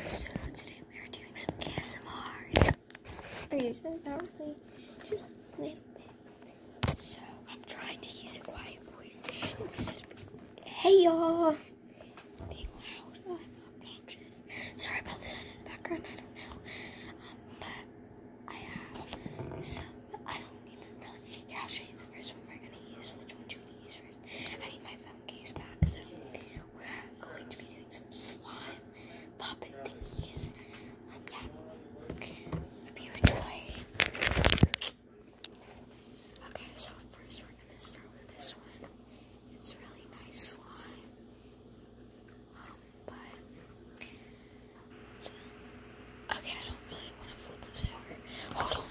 So today we are doing some ASMR. Okay, so not really, just a little bit. So I'm trying to use a quiet voice instead of, hey y'all, being loud and obnoxious. Sorry about the sound in the background, I don't know. Um, but I have some, I don't even really, I'll show you the first one we're gonna use, which one should we use I need my phone case back, so we're going to be doing some slime popping thingies. Um, you enjoy. Okay, so first we're gonna start with this one. It's really nice slime. Um, but okay, I don't really want to flip this over. Hold on.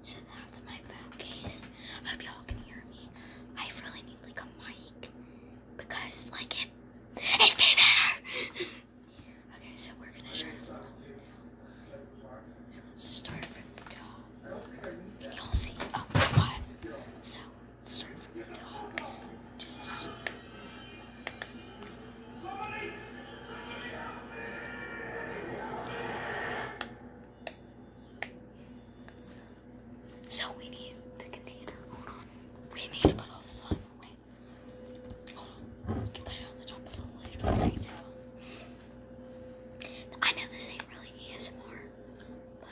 So that's my phone case. hope y'all can hear me. I really need like a mic because like it, it'd be better. okay, so we're gonna start. So let's start from the top. Y'all see? Oh, So start from the top. Just. So we need the container. Hold on. We need to put all the slime away. Hold on. put it on the top of the lid for right now. I know this ain't really ASMR, but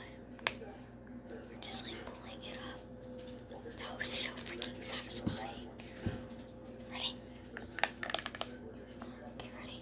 we're just like pulling it up. That was so freaking satisfying. Ready? Okay, ready?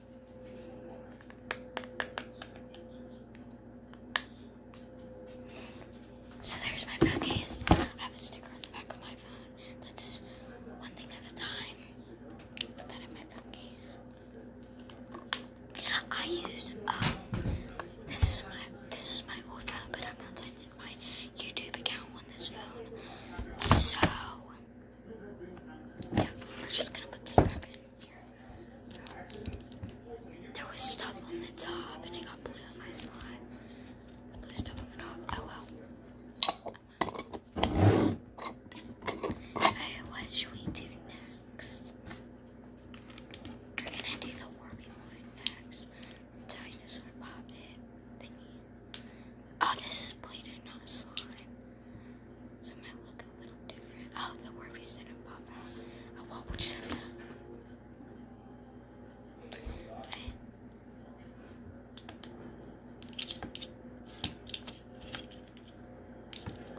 So there's my phone case. I have a sticker on the back of my phone That's says one thing at a time. Put that in my phone case. I use um this is my this is my old phone, but I'm not signing my YouTube account on this phone. So yeah, we're just gonna put this back in here. There was stuff on the top and it got blue in my slide. Blue stuff on the top. Oh well. So, what should we do next? We're gonna do the warping one next. The dinosaur puppet thingy. Oh, this is play not slime. So it might look a little different. Oh, the word we said in Papa. I want what you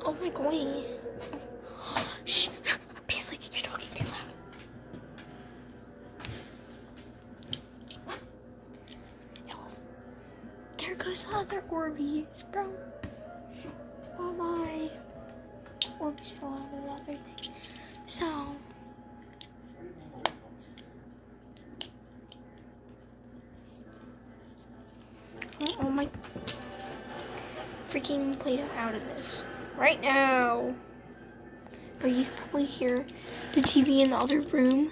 Oh my god. Shh. Paisley, you're talking too loud. There goes another Orbeez, bro. Oh my. Orbeez fell out of the So. Oh my. Freaking Play-Doh out of this. Right now. Or you can probably hear the TV in the other room.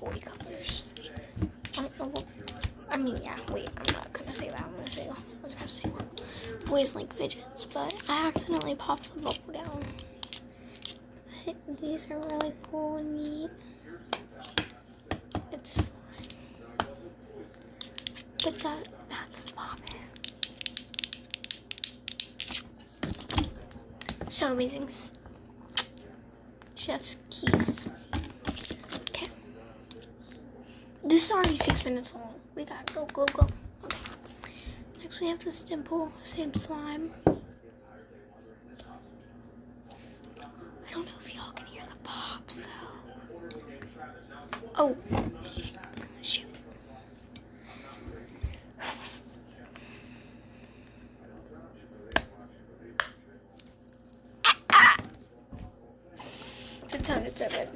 like body I mean, yeah, wait, I'm not gonna say that. I'm gonna say, Boys like fidgets, but I accidentally popped the bubble down. These are really cool and neat. It's fine. But that, that's the So amazing. Chef's Keys. Okay. This is already six minutes long. We got go, go, go. Okay. Next we have this dimple, same slime. I don't know if y'all can hear the pops Oh, shoot. That sounded so good.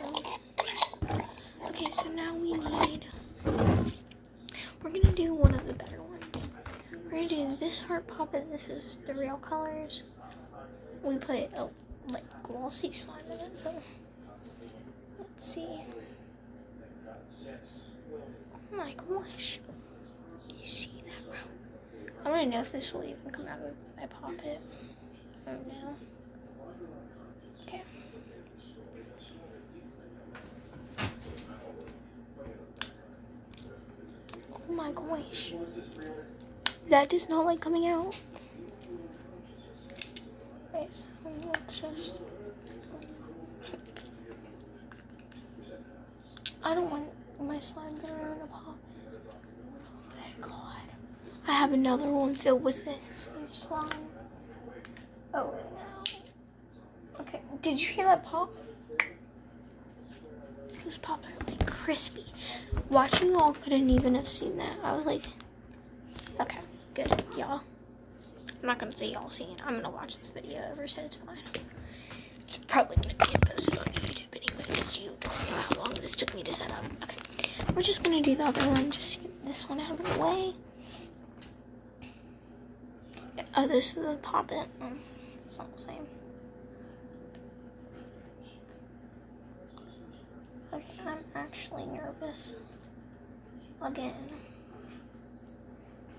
Whatever. Okay, so now we need. We're gonna do one of the better ones. We're gonna do this heart pop, this is the real colors. We put a like glossy slime in it, so let's see. Oh my gosh. you see that, bro? I want to know if this will even come out of my pocket. it. I not Okay. Oh my gosh. That is not like coming out. Wait, let's just. I don't want my slime to ruin a pop. Oh, thank God. I have another one filled with it. Oh, no. Okay, did you hear that pop? Those pops are like crispy. Watching y'all couldn't even have seen that. I was like, okay, good, y'all. I'm not gonna say y'all seen it. I'm gonna watch this video ever so it's fine. It's probably gonna be posted on YouTube anyway, because you don't know how long this took me to set up. Okay. We're just gonna do the other one, just get this one out of the way. Oh, this is the pop it. Mm, it's not the same. Okay, I'm actually nervous again.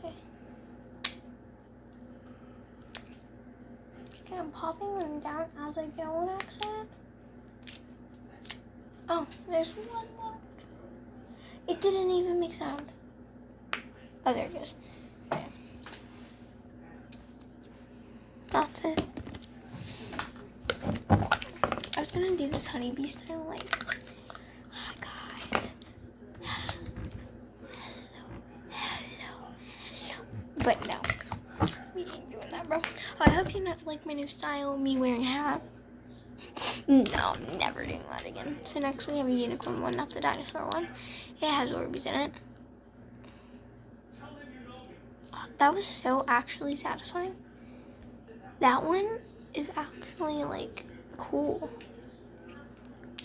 Okay, okay I'm popping them down as I go on accident. Oh, there's one left. It didn't even make sound. Oh, there it goes. Okay. That's it. I was gonna do this honeybee style, like, but no, we ain't doing that, bro. Oh, I hope you not like my new style, me wearing a hat. No, I'm never doing that again. So next we have a unicorn one, not the dinosaur one. It has Orbeez in it. Oh, that was so actually satisfying. That one is actually like cool.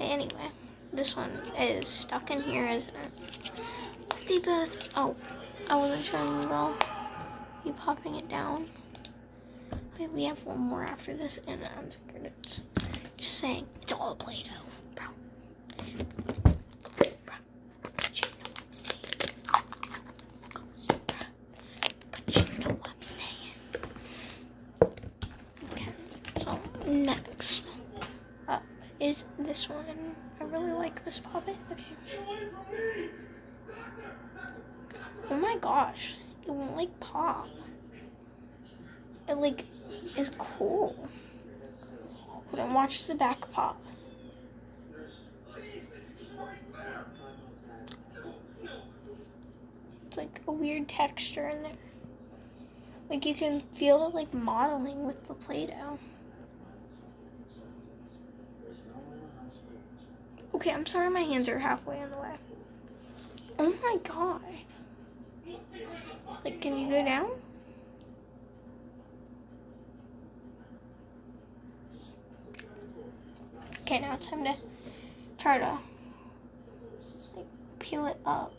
Anyway, this one is stuck in here, isn't it? They both. Oh, I wasn't showing you well. You popping it down. Wait, we have one more after this, and I'm just saying, it's all Play-Doh, bro but you know I'm staying. Okay, so next up is this one. I really like this puppet. Okay. Oh my gosh, it will like pop. It like is cool. But I watch the back pop it's like a weird texture in there. Like you can feel it like modeling with the Play-Doh. Okay, I'm sorry my hands are halfway in the way. Oh my god. Like, can you go down? Okay, now it's time to try to peel it up.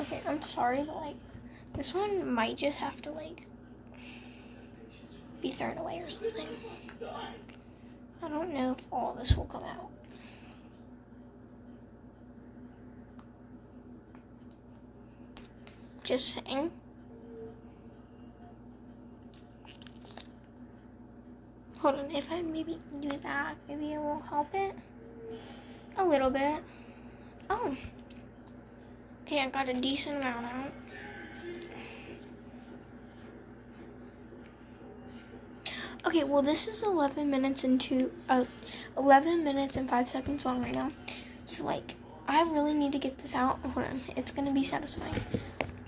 Okay, I'm sorry, but like this one might just have to like be thrown away or something. I don't know if all this will come out. Just saying. Hold on, if I maybe do that, maybe it will help it a little bit. Oh, okay, I got a decent amount out. Okay, well this is 11 minutes and two, uh, 11 minutes and five seconds long right now. So like, I really need to get this out. Hold on, it's gonna be satisfying.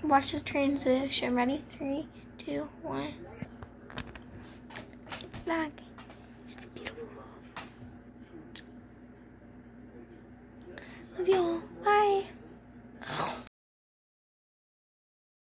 Watch the transition. Ready? Three, two, one. It's back. It's beautiful. Love y'all. Bye.